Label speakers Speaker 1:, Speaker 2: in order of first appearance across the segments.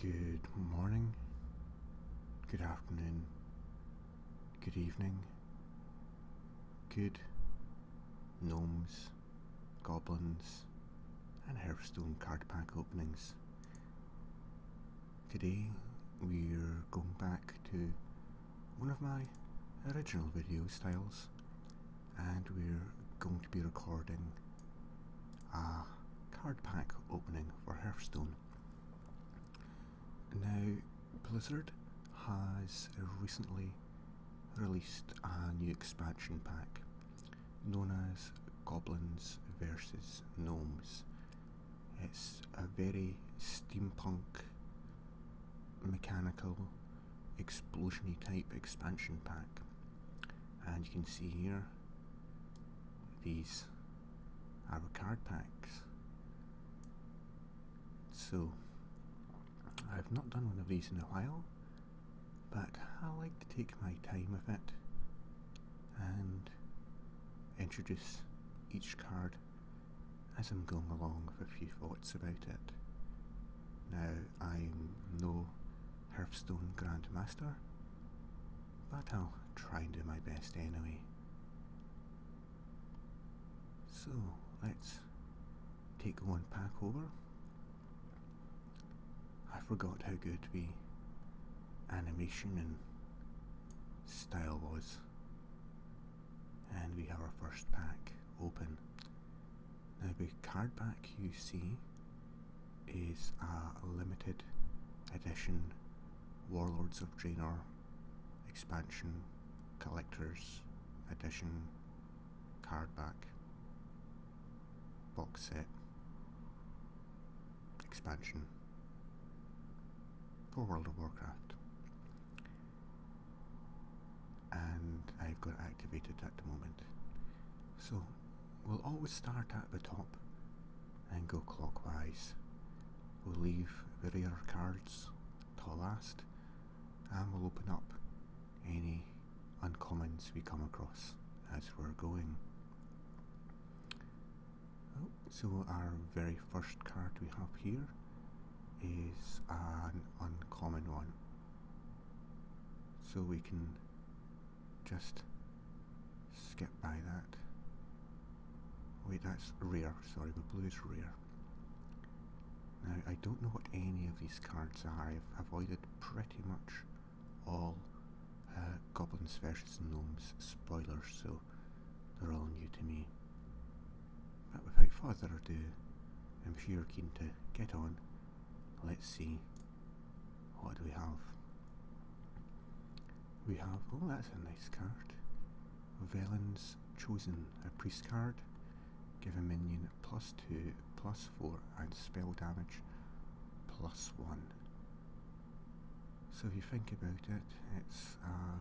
Speaker 1: Good morning, good afternoon, good evening, good gnomes, goblins, and Hearthstone card pack openings. Today we're going back to one of my original video styles, and we're going to be recording a card pack opening for Hearthstone. Now, Blizzard has recently released a new expansion pack known as Goblins vs. Gnomes. It's a very steampunk, mechanical, explosiony type expansion pack and you can see here these arrow card packs so I've not done one of these in a while but I like to take my time with it and introduce each card as I'm going along with a few thoughts about it. Now I'm no Hearthstone Grandmaster, but I'll try and do my best anyway. So let's take one pack over. I forgot how good the animation and style was. And we have our first pack open. Now the card back you see is a limited edition Warlords of Draenor expansion collector's edition card back box set expansion for World of Warcraft. And I've got activated at the moment. So We'll always start at the top and go clockwise. We'll leave the rear cards till last and we'll open up any uncommons we come across as we're going. Oh, so our very first card we have here is an uncommon one so we can just skip by that. Wait, that's rare. Sorry, the blue is rare. Now, I don't know what any of these cards are. I've avoided pretty much all uh, Goblins versus Gnomes spoilers, so they're all new to me. But without further ado, I'm sure keen to get on Let's see. What do we have? We have, oh that's a nice card. Velen's Chosen, a priest card. Give a minion plus 2, plus 4 and spell damage plus 1. So if you think about it, it's uh,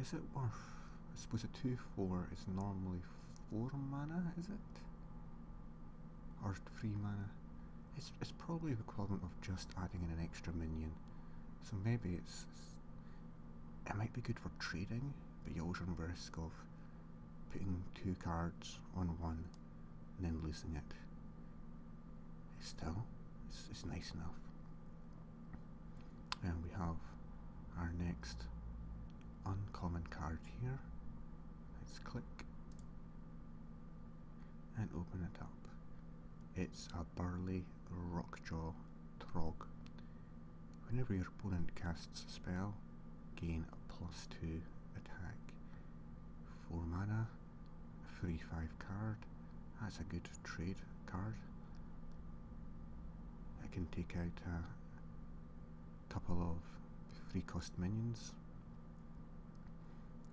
Speaker 1: is it worth? I suppose a 2-4 is normally four mana, is it? Or three mana? It's it's probably the equivalent of just adding in an extra minion. So maybe it's, it might be good for trading, but you always run risk of putting two cards on one and then losing it. It's still, it's, it's nice enough and we have our next uncommon card here let's click and open it up it's a burly rockjaw trog whenever your opponent casts a spell gain a plus 2 attack 4 mana 3-5 card that's a good trade card I can take out couple of free cost minions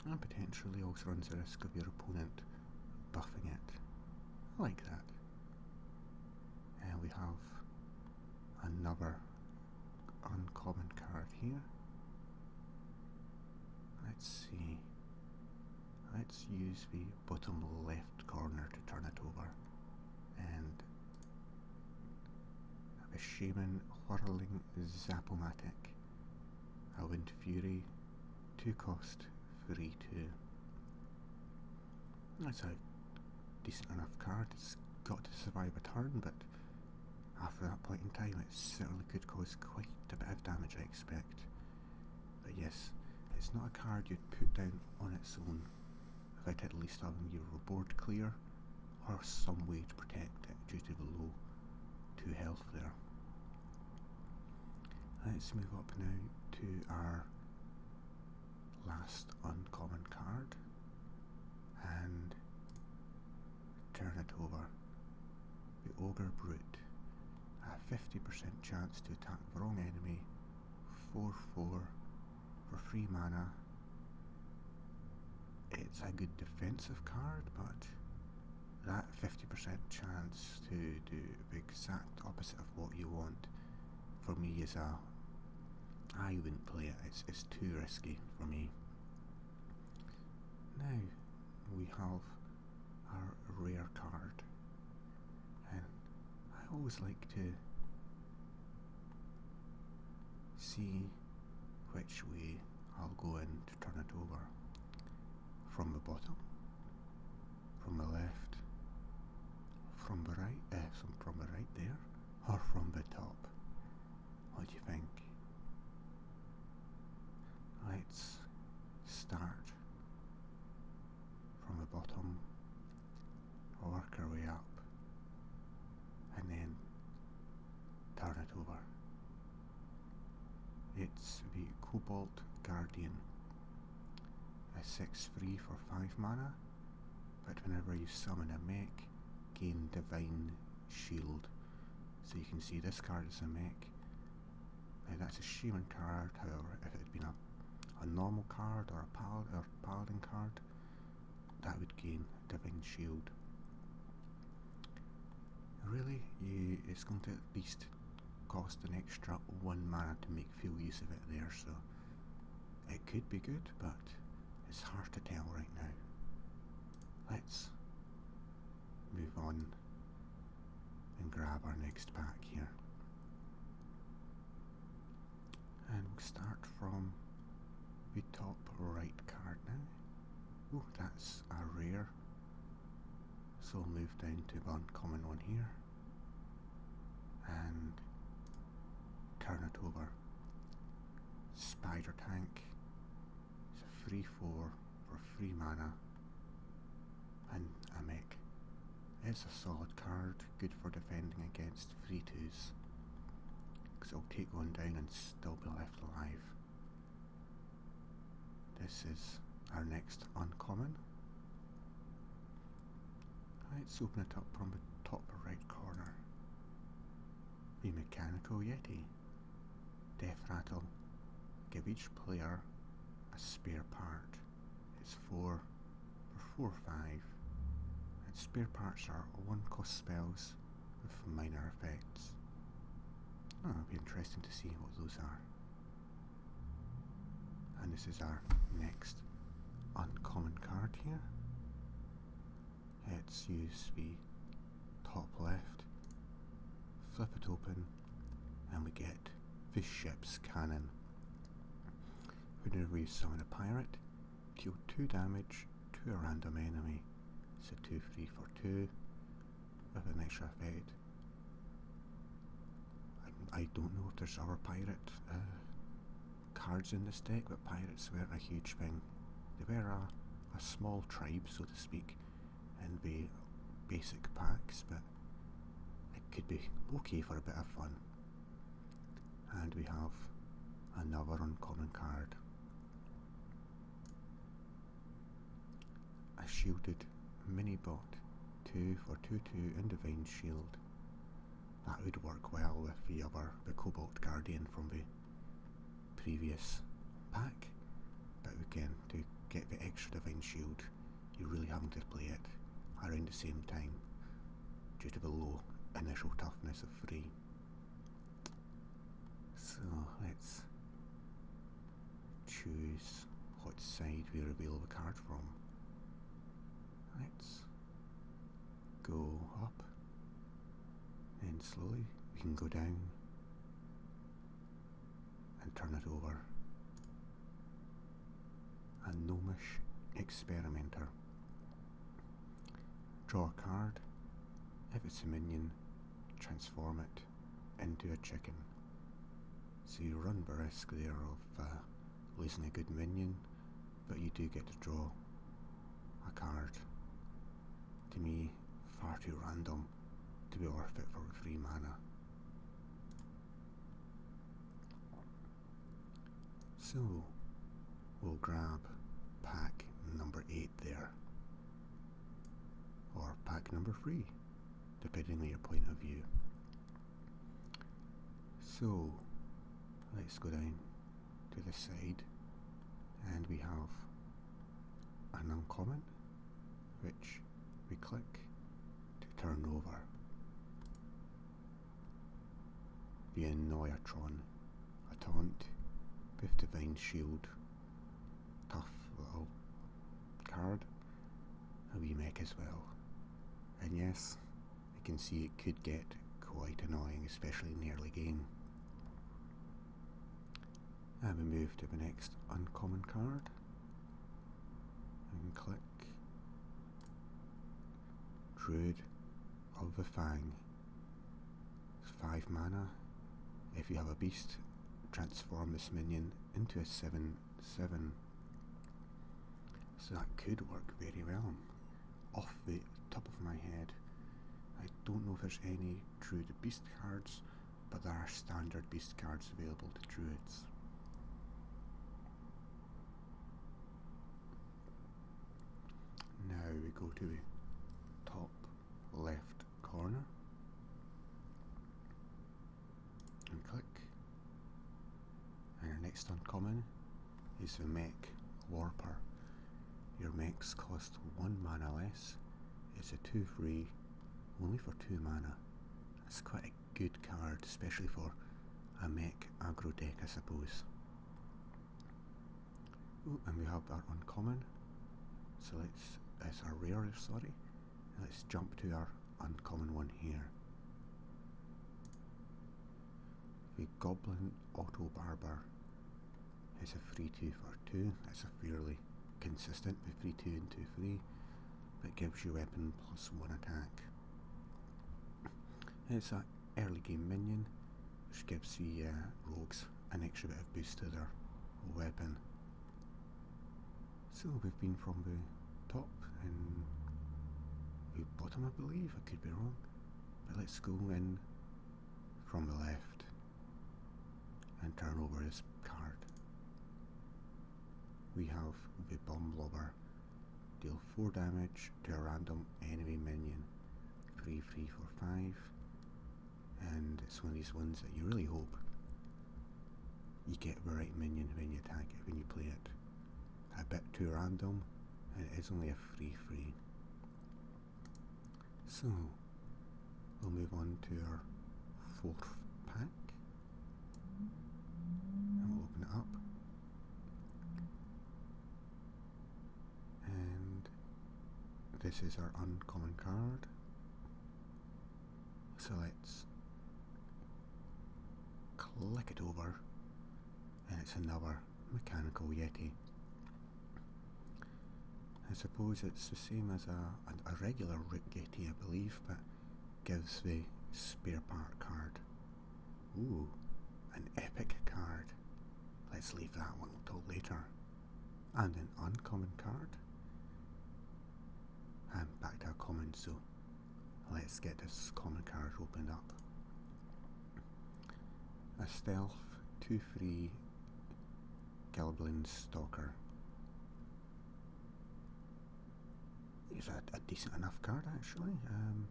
Speaker 1: and potentially also runs the risk of your opponent buffing it. I like that. And uh, we have another uncommon card here. Let's see. Let's use the bottom left corner to turn it over. And a Shaman Whirling Zapomatic, a Wind Fury, 2 cost, 3 2. That's a decent enough card, it's got to survive a turn, but after that point in time it certainly could cause quite a bit of damage I expect. But yes, it's not a card you'd put down on its own. That at least having your board clear or some way to protect it due to the low 2 health there. Let's move up now to our last uncommon card and turn it over. The Ogre Brute. A 50% chance to attack the wrong enemy 4 4 for free mana. It's a good defensive card, but that 50% chance to do the exact opposite of what you want for me is a I wouldn't play it, it's, it's too risky for me. Now we have our rare card and I always like to see which way I'll go in to turn it over from the bottom, from the left, from the right, uh, from the right there, or from the top. What do you think? Let's start from the bottom, work our way up, and then turn it over. It's the Cobalt Guardian. A 6 3 for 5 mana, but whenever you summon a mech, gain Divine Shield. So you can see this card is a mech. Now that's a Shaman card, however, if it had been a a normal card or a pal or paladin card, that would gain Divine Shield. Really, you, it's going to at least cost an extra one mana to make full use of it there, so it could be good, but it's hard to tell right now. Let's move on and grab our next pack here. And we'll start from the top right card now. Oh, that's a rare. So move down to an uncommon one here. And turn it over. Spider Tank. It's a 3-4 for 3 mana. And a mech. It's a solid card, good for defending against 3 2s. Because it'll take one down and still be left alive. This is our next uncommon. Let's open it up from the top right corner. The Mechanical Yeti. Death Rattle. Give each player a spare part. It's four or four or five, and spare parts are one cost spells with minor effects. Oh, it'll be interesting to see what those are. And this is our next uncommon card here. It's used be top left, flip it open, and we get the ship's cannon. We're Hooded Wave summon a pirate, deal 2 damage to a random enemy. So 2 free for 2 with an extra effect. I, don't know if there's other pirate uh, cards in this deck, but pirates were a huge thing. They were a small tribe, so to speak, in the basic packs, but it could be okay for a bit of fun. And we have another uncommon card. A shielded mini bot, 2 for 2 2 and Divine Shield. That would work well with the other, the Cobalt Guardian from the previous pack, but we can to get the extra Divine Shield you really haven't displayed it around the same time due to the low initial toughness of 3. So let's choose which side we reveal the card from. Let's go up and slowly we can go down and turn it over. A gnomish experimenter. Draw a card. If it's a minion, transform it into a chicken. So you run the risk there of uh, losing a good minion, but you do get to draw a card. To me, far too random to be worth it for free mana. So we'll grab pack number 8 there, or pack number 3, depending on your point of view. So let's go down to the side and we have an uncommon which we click to turn over. The in a taunt with Divine Shield, tough little card, a wee make as well. And yes, I can see it could get quite annoying, especially in the early game. And we move to the next uncommon card, and click Druid of the Fang. 5 mana. If you have a beast, transform this minion into a 7 7. So that could work very well. Off the top of my head, I don't know if there's any Druid Beast cards, but there are standard Beast cards available to Druids. Now we go to the top left corner and click and our next uncommon is the mech Warper. Your mechs cost 1 mana less, it's a 2 free, only for 2 mana. That's quite good card, especially for a mech agro deck, I suppose. Ooh, and we have our uncommon. So let's, that's our rare, sorry. let's jump to our uncommon one here. The Goblin Auto Barber is a 3 2 for 2. That's a fairly consistent with 3 2 and 2 3 that gives you weapon plus one attack. It's an early game minion which gives the uh, rogues an extra bit of boost to their weapon. So we've been from the top and the bottom I believe, I could be wrong, but let's go in from the left and turn over this card we have the Bomb Blobber. Deal 4 damage to a random enemy minion. Free, free for 5. And it's one of these ones that you really hope you get the right minion when you attack it, when you play it. A bit too random, and it is only a free free. So, we'll move on to our fourth pack and we'll open it up. And this is our uncommon card. So let's click it over, and it's another mechanical Yeti. I suppose it's the same as a, a, regular Rick Yeti, I believe, but gives the spare part card. Ooh, an epic card. Let's leave that one until later. And an uncommon card. And back to a common, so let's get this common card opened up. A stealth 2 free Gilblin Stalker. It's a, a decent enough card actually. Um,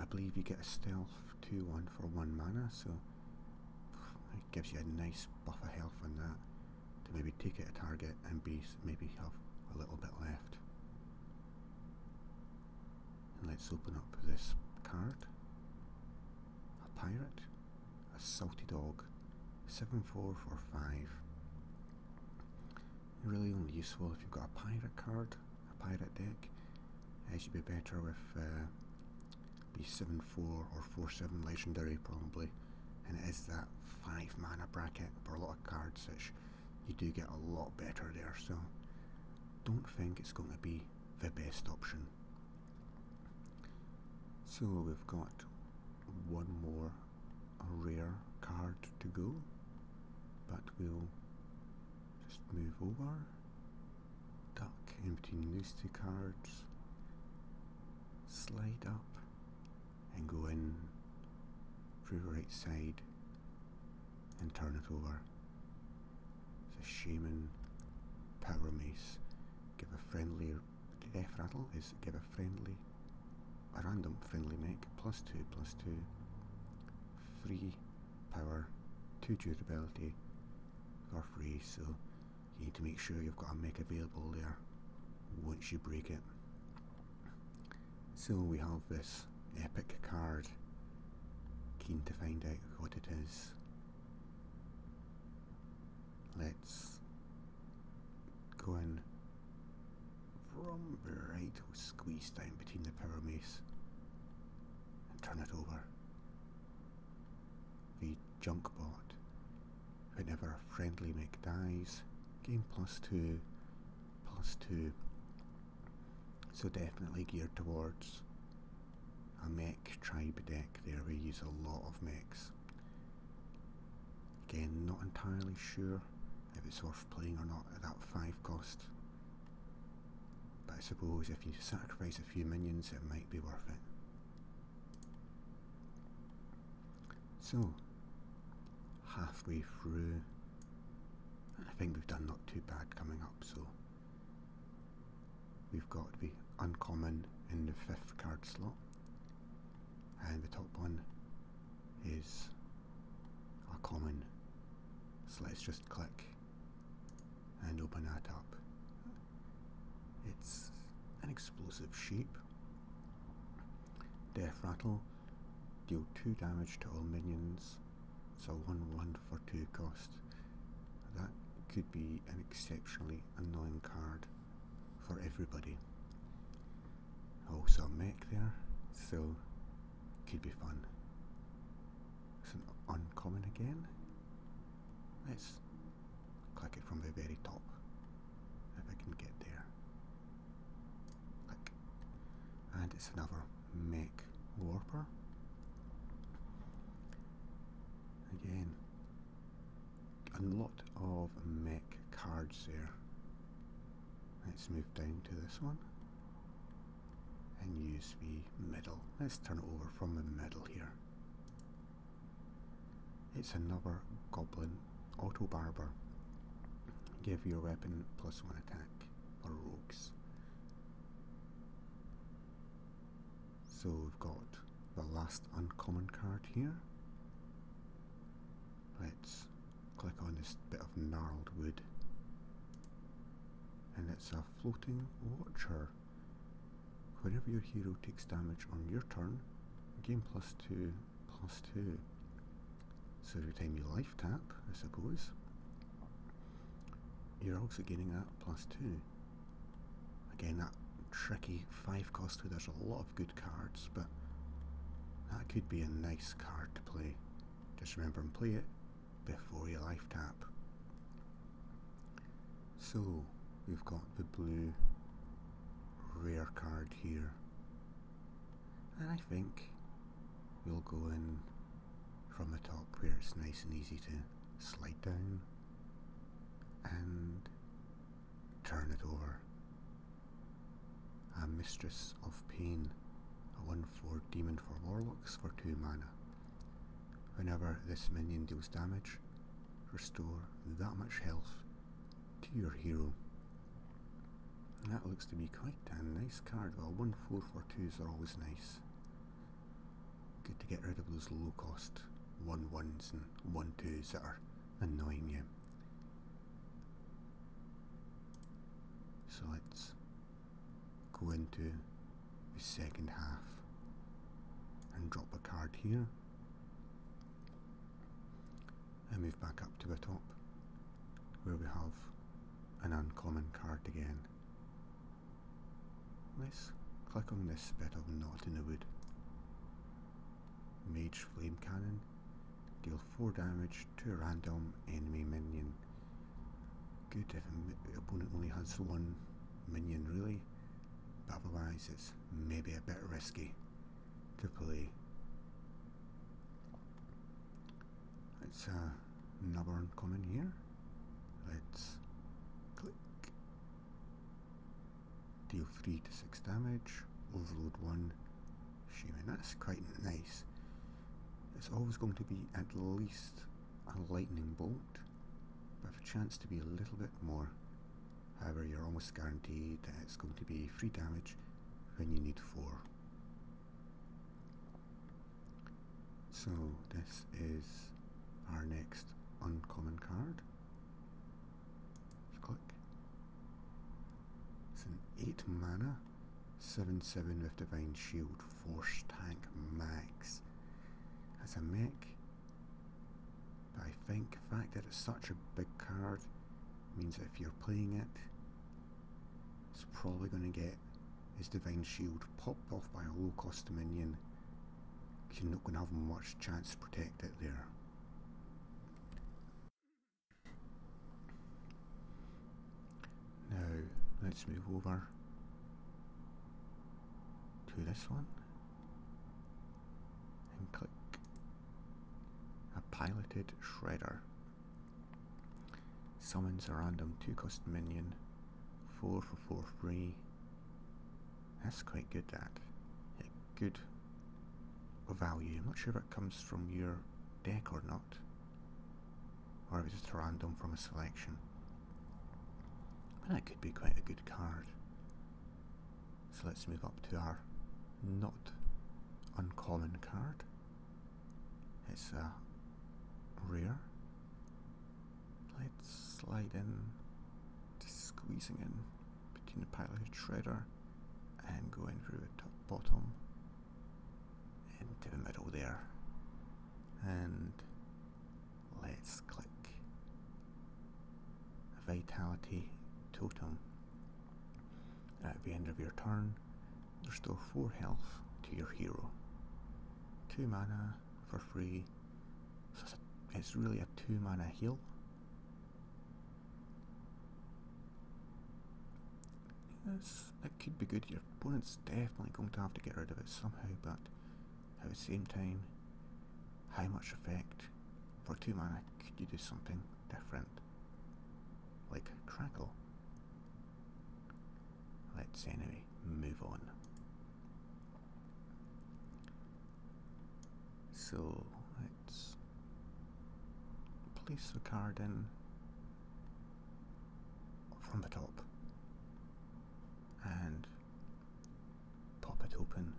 Speaker 1: I believe you get a stealth 2 1 for 1 mana, so it gives you a nice buff of health on that to maybe take it a target and be, maybe have a little bit left. And let's open up this card. A pirate a salty dog, 7445. Really only useful if you've got a pirate card, a pirate deck. It uh, should be better with B uh, 7 4 or 4 7 legendary, probably. And it is that 5 mana bracket for a lot of cards, which you do get a lot better there. So don't think it's going to be the best option. So we've got one more a rare card to go, but we'll just move over, duck in between these two cards, slide up and go in through the right side and turn it over. The Shaman Power Mace give a friendly the F rattle is give a friendly, a random friendly mech, plus 2, plus 2, free power, 2 durability for free, so you need to make sure you've got a mech available there once you break it. So we have this epic card, keen to find out what it is. Let's go in from right, squeeze down between the power and turn it over. The junk bot. Whenever a friendly mech dies, gain plus two, plus two. So definitely geared towards a mech tribe deck there. We use a lot of mechs. Again, not entirely sure if it's worth playing or not at that 5 cost. But I suppose if you sacrifice a few minions it might be worth it. So, halfway through, I think we've done not too bad coming up so we've got the uncommon in the 5th card slot and the top one is a common. So let's just click and open that up. It's an explosive sheep, Death Rattle, deal 2 damage to all minions, it's a 1-1 for 2 cost. That could be an exceptionally annoying card for everybody. Also oh, make there, so could be fun. It's an uncommon again. Let's click it from the very top, if I can get there. Click. And it's another make warper. Again, a lot of mech cards there. Let's move down to this one and use the middle. Let's turn over from the middle here. It's another Goblin Auto Barber. Give your weapon plus one attack for rogues. So we've got the last uncommon card here. Let's click on this bit of gnarled wood. And it's a floating watcher. Whenever your hero takes damage on your turn, gain plus two, plus two. So every time you life tap, I suppose, you're also getting that plus two. Again, that tricky five cost two, there's a lot of good cards, but that could be a nice card to play. Just remember and play it before your life tap. So, we've got the blue rare card here. And I think we'll go in from the top where it's nice and easy to slide down and turn it over. A Mistress of Pain, a 1 4 demon for warlocks for 2 mana. Whenever this minion deals damage, restore that much health to your hero. And that looks to be quite a nice card. Well, 1 4 2s are always nice. Good to get rid of those low cost one ones and one twos that are annoying you. So let's go into the second half and drop a card here and move back up to the top where we have an uncommon card again. Let's click on this bit of knot in the wood Mage Flame Cannon. Deal 4 damage to a random enemy minion. Good if the opponent only has one minion really, but otherwise it's maybe a bit risky to play. It's uh, another uncommon here. Let's click deal 3 to 6 damage, overload 1, Shaman. That's quite nice. It's always going to be at least a lightning bolt, but with a chance to be a little bit more. However, you're almost guaranteed that it's going to be 3 damage when you need 4. So this is our next uncommon card. Just click. It's an 8 mana, 7 7 with Divine Shield, Force Tank Max. As a mech, but I think the fact that it's such a big card means if you're playing it, it's probably going to get its Divine Shield popped off by a low cost minion you're not going to have much chance to protect it there. Now, let's move over to this one and click a piloted shredder. Summons a random 2 cost minion, 4 for 4 free that's quite good, that. good value. I'm not sure if it comes from your deck or not. Or if it's just random from a selection. But that could be quite a good card. So let's move up to our not uncommon card. It's a uh, rare. Let's slide in, squeezing in between the pile of shredder and going through the top bottom into the middle there. And let's click vitality totem. At the end of your turn, restore 4 health to your hero. 2 mana for free. So it's, really a two mana heal. Yes, that could be good. Your opponent's definitely going to have to get rid of it somehow, but at the same time, how much effect for two mana could you do something different? Like Crackle. Let's anyway move on. So let's place the card in from the top and pop it open.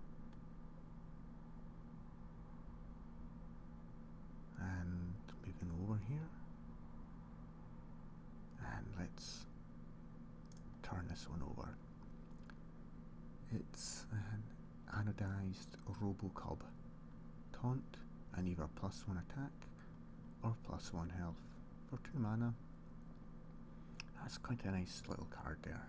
Speaker 1: And moving over here, and let's turn this one over it's an anodized Robocub. Taunt and either plus one attack or plus one health for two mana. That's quite a nice little card there.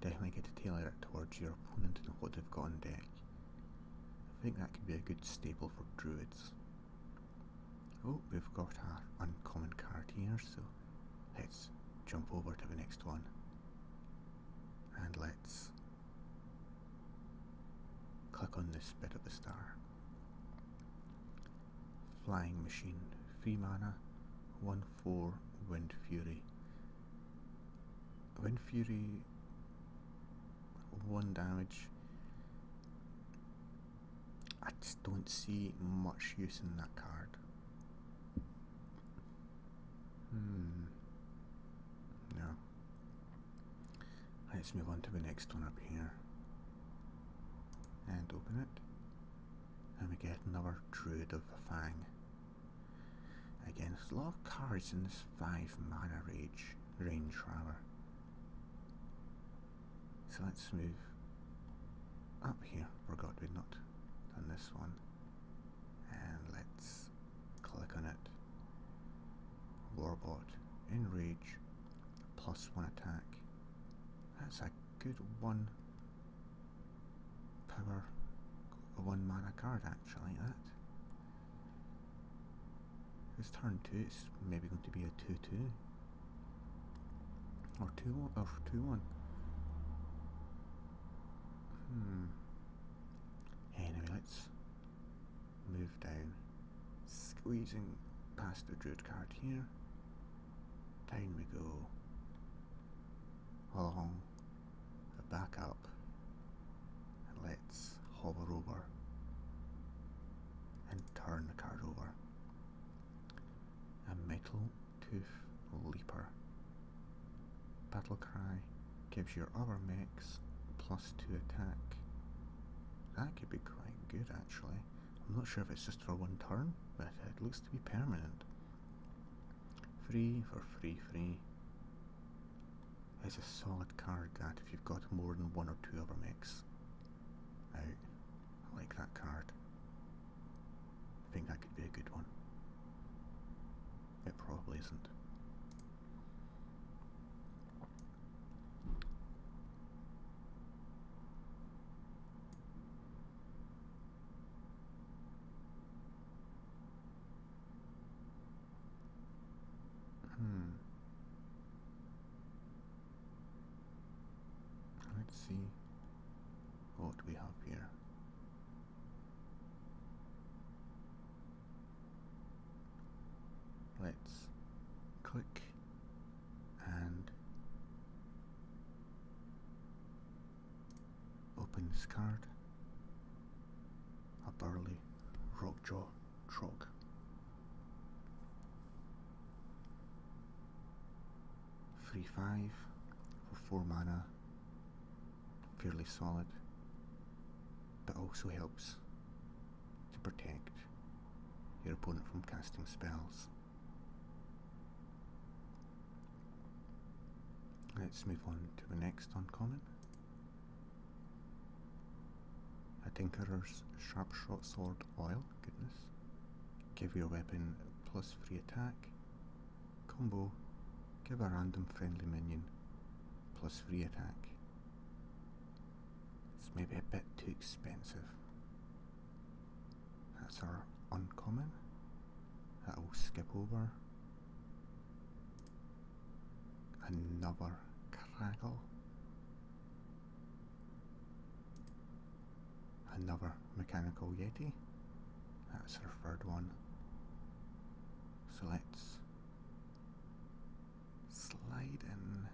Speaker 1: Definitely get to tailor it towards your opponent and what they've got in deck. I think that could be a good staple for druids. Oh, we've got our uncommon card here, so let's jump over to the next one. And let's click on this bit of the star. Flying Machine, 3 mana, 1-4 Wind Fury. Wind Fury, 1 damage, I just don't see much use in that card. Hmm. No. Let's move on to the next one up here. And open it. And we get another Druid of the Fang. Again, there's a lot of cards in this 5 mana rage range rather. So let's move up here. Forgot we'd not done this one. And let's click on it. Warbot, Enrage, plus one attack. That's a good one power, one mana card actually, that. It's turn two, it's maybe going to be a 2-2. Or 2 or 2 1. Hmm. Anyway, let's move down. Squeezing past the druid card here. Down we go. Along the back up. And let's hover over and turn the card over a metal tooth leaper. Battle Cry gives your other mechs plus 2 attack. That could be quite good actually. I'm not sure if it's just for one turn, but it looks to be permanent. Free for free free. It's a solid card that if you've got more than one or two other mechs out. I like that card. I think that could be a good one. It probably isn't. Hmm. Let's see what we have here. Let's click and open this card. A burly rockjaw trog. 3 5 for 4 mana, fairly solid, but also helps to protect your opponent from casting spells. Let's move on to the next uncommon. A Tinkerer's Sharpshot Sword oil, goodness. Give your weapon plus free attack. Combo, give a random friendly minion plus free attack. It's maybe a bit too expensive. That's our uncommon. That will skip over. Another craggle. Another mechanical Yeti. That's our third one. So let's slide in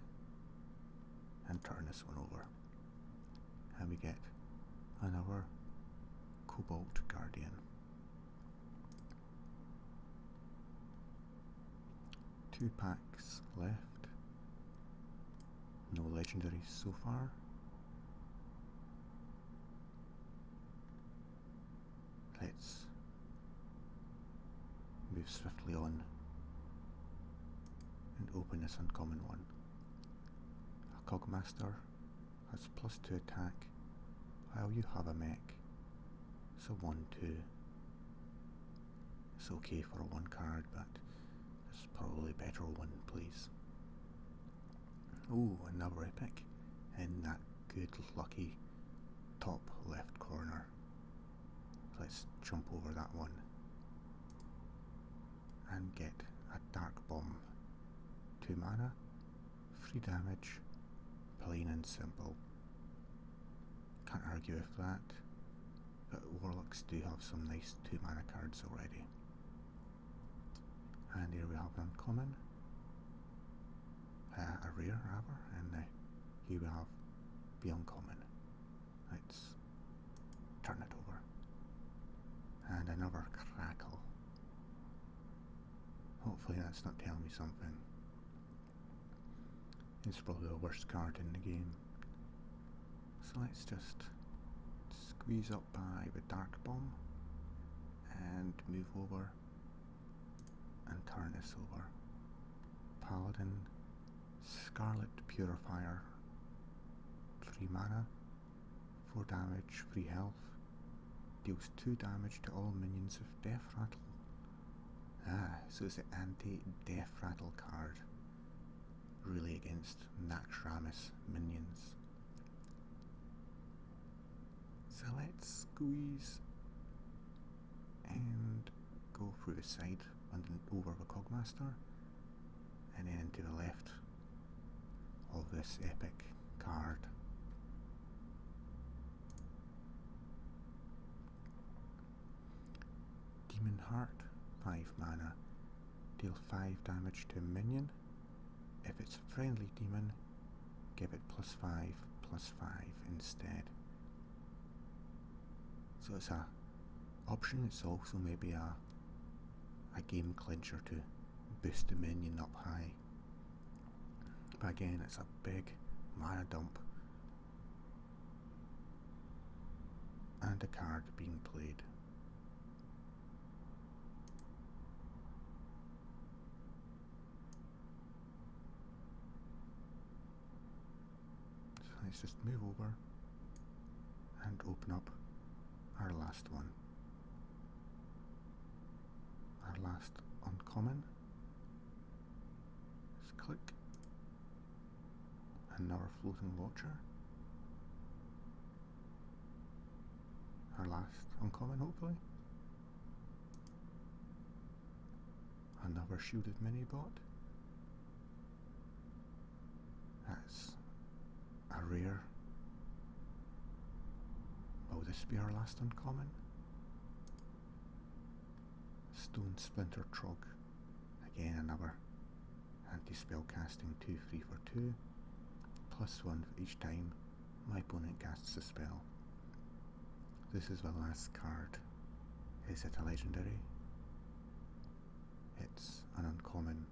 Speaker 1: and turn this one over. And we get another Cobalt Guardian. Two packs left. No legendaries so far. Let's move swiftly on and open this uncommon one. A Cogmaster has plus 2 attack while you have a mech. So 1, 2, it's okay for one card, but it's probably better one, please. Oh, another epic in that good lucky top left corner. Let's jump over that one and get a dark bomb. Two mana, three damage, plain and simple. Can't argue with that. But Warlocks do have some nice 2 mana cards already. And here we have an uncommon. Uh, a rare rather, and uh, here we have beyond common. Let's turn it over. And another crackle. Hopefully that's not telling me something. It's probably the worst card in the game. So let's just squeeze up by the Dark Bomb and move over and turn this over. Paladin, Scarlet Purifier, free mana, 4 damage, free health, deals 2 damage to all minions of Death Rattle. Ah, so it's an anti-Death Rattle card really against Naxxramas minions. So let's squeeze and go through the side and over the Cogmaster and then into the left of this epic card. Demon Heart, 5 mana. Deal 5 damage to a minion. If it's a friendly demon, give it plus 5, plus 5 instead. So it's a option, it's also maybe a, a game clincher to boost the minion up high. But again, it's a big mana dump and a card being played. let's just move over and open up our last one. Our last uncommon. Just click Another floating watcher. Our last uncommon, hopefully. Another shielded mini bot. That's a rare. Will this be our last uncommon? Stone Splinter Trog. Again another anti-spell casting 2 3 for 2. Plus 1 each time my opponent casts a spell. This is the last card. Is it a legendary? It's an uncommon.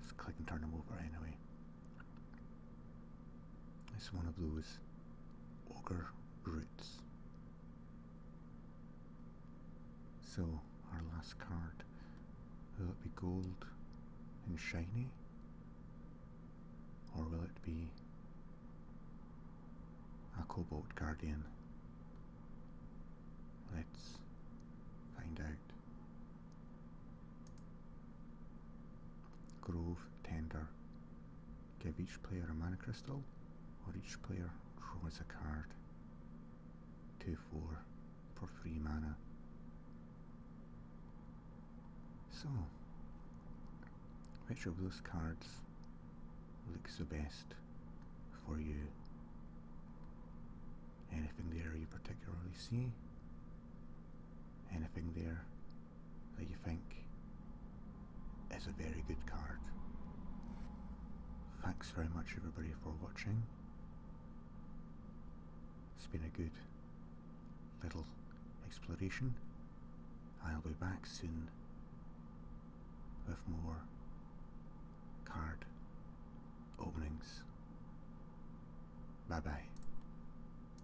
Speaker 1: Just click and turn them over anyway. It's one of those ogre roots. So, our last card. Will it be gold and shiny? Or will it be a Cobalt Guardian? Let's find out. Grove Tender Give each player a mana crystal, or each player draws a card. 2 4 for 3 mana. So, which of those cards looks the best for you? Anything there you particularly see? Anything there that you think is a very good card. Thanks very much everybody for watching. It's been a good little exploration. I'll be back soon with more card openings. Bye bye.